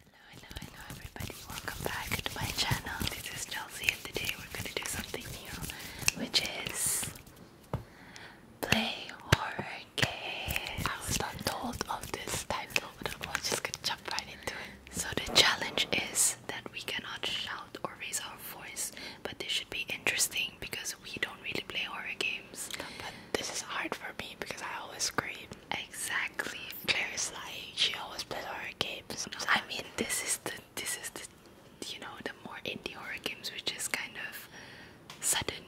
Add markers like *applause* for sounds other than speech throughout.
Hello, hello, hello everybody. Welcome back to my channel. This is Chelsea and today we're going to do something new, which is play horror games. I was not told of this title, but I was just going to jump right into it. So the challenge is that we cannot shout or raise our voice, but this should be interesting because we don't really play horror games. But this is hard for me because I always scream. Exactly. Claire's like she always plays horror games. I mean, this is the this is the you know the more indie horror games, which is kind of sudden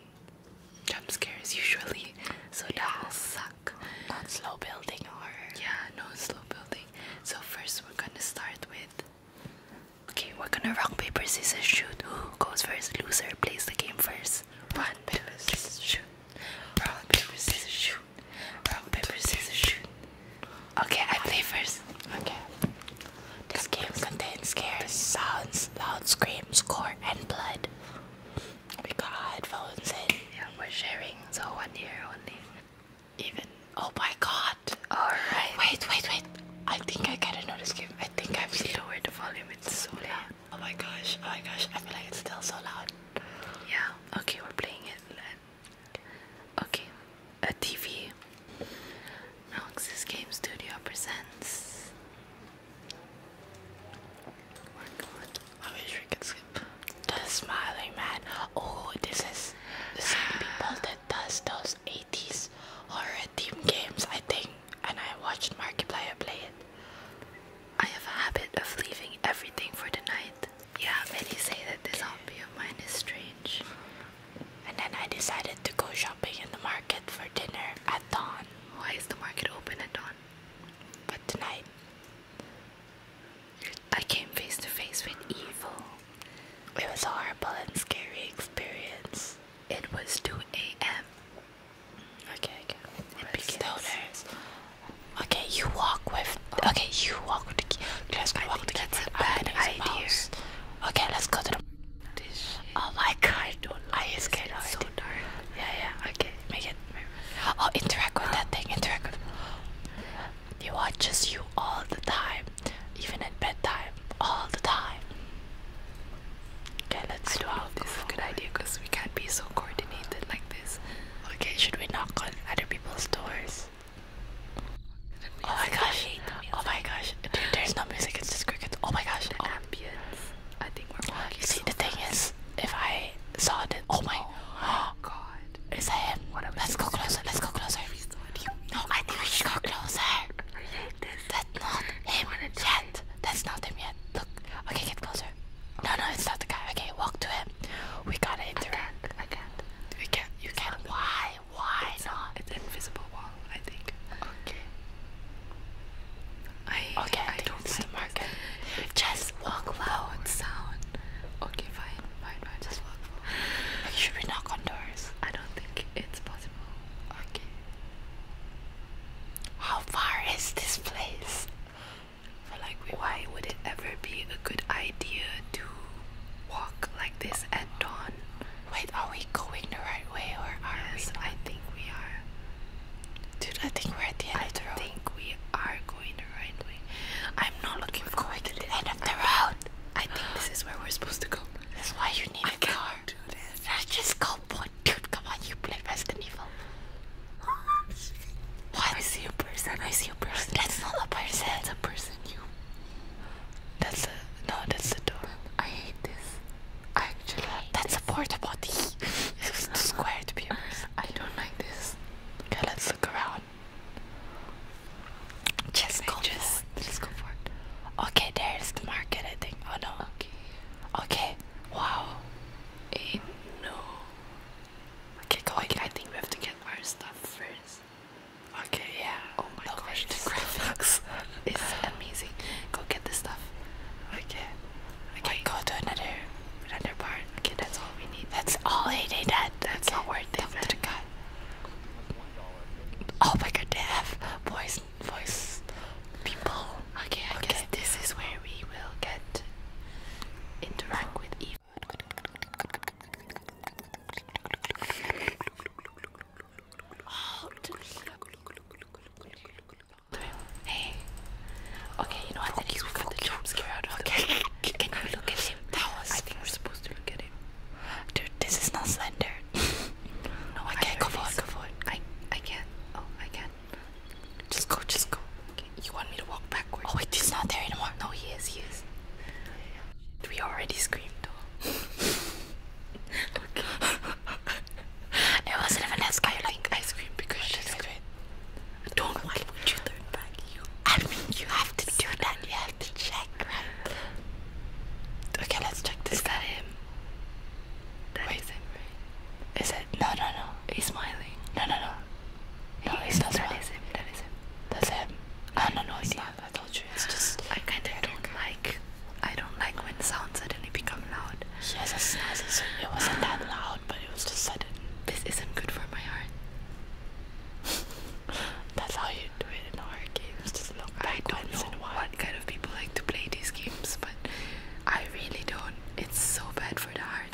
jump scares usually. So that will suck. Not slow building horror. Yeah, no slow building. So first we're gonna start with. Okay, we're gonna rock paper scissors shoot. Who *gasps* goes first? Loser plays the game first. One, paper shoot. Rock, paper, scissors, shoot. Rock, paper, scissors, shoot. Okay, I play first. Okay. This game contains scares, sounds, loud screams, gore, and blood. We got headphones in. Yeah, we're sharing, so one ear only. Even. Oh my god! Alright. Wait, wait, wait. I think I gotta know this game. I think I've seen lower the volume, it's so loud. Oh my gosh, oh my gosh, I feel like it's still so loud. Yeah, okay, we're playing it. Okay, a TV. Roxas Game Studio presents. Oh my god, I wish The Smiling Man. Oh, this is the same *sighs* people that does those 80s horror theme games, I think. And I watched Markiplier play it. I have a habit of leaving everything for tonight. Yeah, many say that this hobby of mine is strange. And then I decided to go shopping in the market for dinner at dawn. Why is the market open at dawn? But tonight, I came face to face with evil. It was a horrible and scary experience. It was 2 a.m. Okay, okay. And Okay, you walk with. Okay, you walk with the Let's go walk with the That's keyboard. idea. okay, let's go to the. This oh my god! I don't I is scared so it. Yeah, yeah. Okay, make it. Oh, interact with that thing. Interact with. He watches you all the time, even at bedtime, all the time. Okay, let's. don't this is a good idea because we can't be so coordinated like this. Okay, should we knock on other people's doors? Oh my gosh! Oh my gosh! there's no music. It's just crickets. Oh my gosh! The oh. ambience. I think we're walking. See, the thing is, if I saw this, oh, oh my, god! It's that him? What Let's go closer. Let's go closer. No, I think we should go closer. That's not him yet. That's not him yet. Look. Okay, get closer. No, no, it's not the guy. Okay, walk to him. We gotta interact. I can't. I can't. We can't. You can't. Why? Why it's not? It's invisible wall. I think. Okay. I. Okay. I, don't see like Just walk loud. Sound. Okay, fine, fine, fine. Just walk. Forward. Should we knock on doors? I don't think it's possible. Okay. How far is this place? why would it ever be a good idea to walk like this at dawn? Wait, are we going the right way or are we? I think we are. Dude, I think we're at the end of the road. I think we are going the right way. I'm not looking for are forward to the end of the road. I think this is where we're supposed to go. That's why you need a car. Let's just go Oh boy, dude, come on, you play Resident Evil. *laughs* I see a person. I see a person. That's not a person. That's a person. You. That's a no. That's the door. I hate this. I actually. Hate that's this. a porta potty. it's too square to be a person. *laughs* I don't like this. Okay, let's look around. Just go just, Just go for Okay, there's the market. I think. Oh no. Okay. Okay. Wow. Hey, eh, no. Okay, go okay, I think we have to get our stuff first. Okay, yeah. Oh my no gosh, the *laughs* graphics is amazing. Go get the stuff. Okay. Okay, Wait. go to another another part. Okay, that's all we need. That's all I need. That that's okay. not worth it. That to God. Oh my god, they have voice voice people Okay, I guess this is where we will get interact with evil. hey. Okay, you know what? That was I think we're supposed to look at him. Dude, this is not slender. *laughs* no, I, can't go forward, go forward. I I can't. Oh, I can't. Just go, just go. You want me to walk backwards? Oh wait, he's not there anymore. No, he is, he is. We already screamed though. *laughs* it *laughs* wasn't even as I like ice cream because she great. Don't okay. you turn back I mean you have to do that, you have to check, Okay, let's check Is that him? Wait, is him, no, no, no. He's smiling. No, no, no. No, he it's not that That is him. That's him. I no, no, no, not. I told you. It's just. I kind of don't like. I don't like when sounds suddenly become loud. Yes, it's nice. it wasn't that *sighs* loud, but it was just sudden. This isn't good for my heart. *laughs* That's how you do it in horror games. Just look I don't know what kind of people like to play these games, but I really don't. It's so bad for the heart.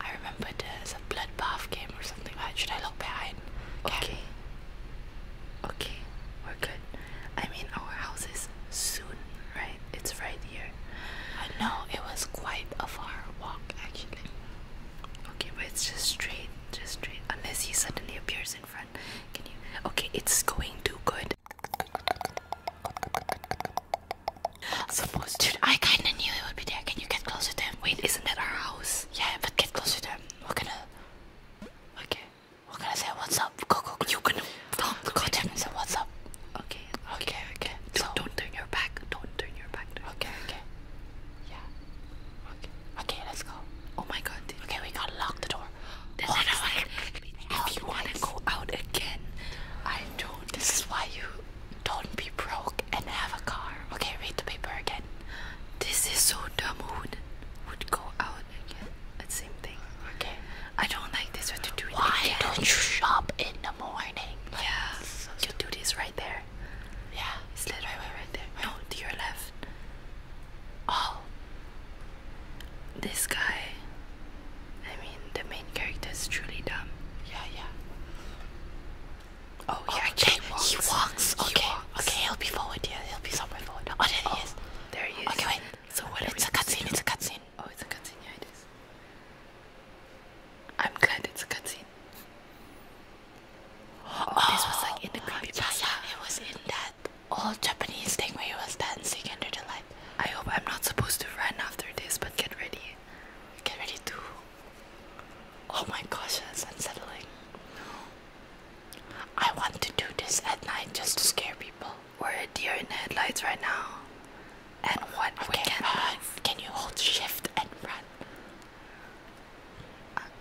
I remember there's a bloodbath game or something like that. Should I look behind? okay. Okay, we're good. I mean, our house is soon, right? It's right here. I know, it was quite a far walk actually. Okay, but it's just straight, just straight. Unless he suddenly appears in front. Can you? Okay, it's going too good. Suppose, dude, I kinda knew it would be there. Can you get closer to him? Wait, isn't that our house? Yeah, but get closer to him. What are gonna. Okay. we gonna say what's up. Go, go, go. You gonna. do go to him and say what's up. Okay. Okay, okay. Don't, turn your back. Don't turn your back. Okay, okay. Yeah. Okay. Okay, let's go. Oh my god, Okay, we gotta lock the door if you want to go out again, I don't. This is why you don't be broke and have a car. Okay, read the paper again. This is so dumb. would, would go out again? same thing. Okay. I don't like this. What to do? Why don't you shop in the morning? yeah. you do this right there. Yeah. It's literally right there. No, to your left. Oh, this guy, I mean, the main character is truly dumb. Yeah, yeah. Oh, yeah, okay. He walks. okay, okay, he'll be forward. Yeah, he'll be somewhere forward. Oh, there he oh, is. There he is. Okay, wait. So what? It's a cutscene. It's a cutscene. Oh, it's a cutscene. Yeah, it is. I'm glad it's a cutscene. Oh, this was like in the *gasps* creepy yeah, it was in that. All Japanese thing where he was dancing under the light. I hope I'm not supposed to run after this, but get ready. Get ready to. Oh my gosh, that's unsettling. I want to do this at night just to scare people. We're a deer in the headlights right now. And what can run. Can you hold shift and run?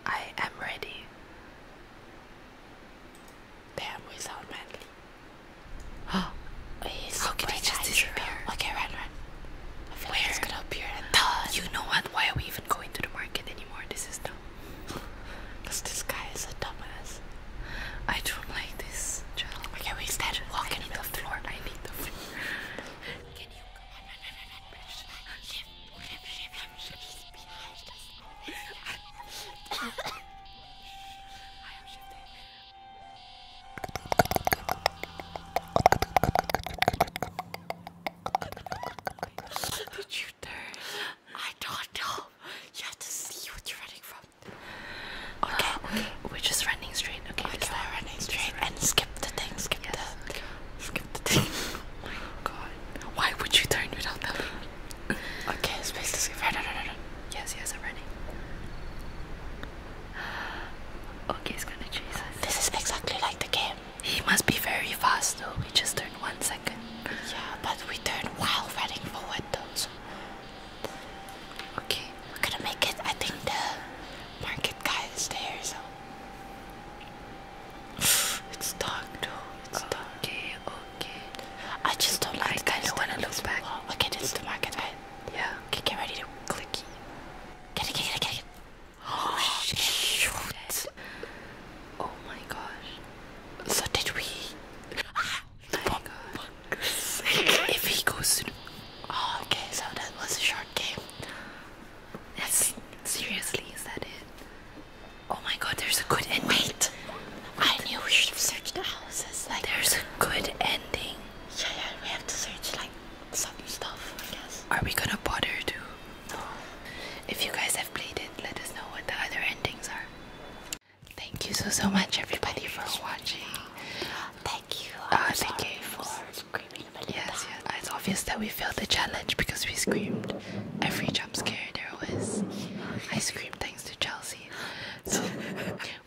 I am ready. Bam, we sound manly. Oh, he's How can he just disappear? Okay, run, run. I feel Where? gonna appear and done. You know what? Why are we even going to the market anymore? This is dumb. Because this guy is a dumbass. I don't like this Okay, we stand walking the floor. I need the floor. I Did you dare? I don't know. You have to see what you're running from. Okay, uh, We're just running straight. Okay, We're running straight and skip the thing. Skip the. Skip the thing. *laughs* Oh Why would you turn without that? Okay, space discovered. No, Yes, yes, I'm ready. *gasps* Okay, he's gonna chase us. This is exactly like the game. He must be very fast though. We just turned one second. Yeah, but we turned while running forward though. Okay. We're gonna make it. I think the market guy is there, so. *sighs* it's dark though. It's dark. Okay, I just don't like. I kind of want to look back. Okay, this is the market, right? Yeah. Okay, get ready to click. Get it, get it, get it, Oh, shit! Shoot. *gasps* Oh my gosh. So did we? Ah, oh my God. if he goes to. Oh, okay. So that was a short game. That's seriously, is that it? Oh my god, there's a good inmate. I knew we should have searched the houses. Like there's a good ending. Yeah, yeah, we have to search like some stuff, I guess. Are we gonna bother to? No. If you guys have played it, let us know what the other endings are. Thank you so so much everybody for watching. Thank you. Uh, thank you for screaming. Yes, yes. It's obvious that we failed the challenge because we screamed every jump scare there was. I screamed thanks to Chelsea. So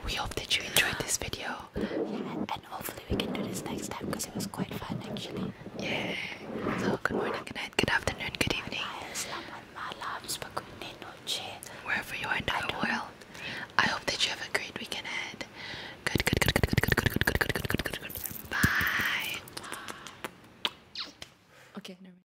we hope that you enjoyed this video. Yeah, and hopefully we can do this next time because it was quite fun actually. Yeah. So good morning, good night, good afternoon, good evening. Wherever you are in the world. I hope that you have a great weekend ahead. Good, good, good, good, good, good, good, good, good, good, good, good, good, good. Bye. Okay, never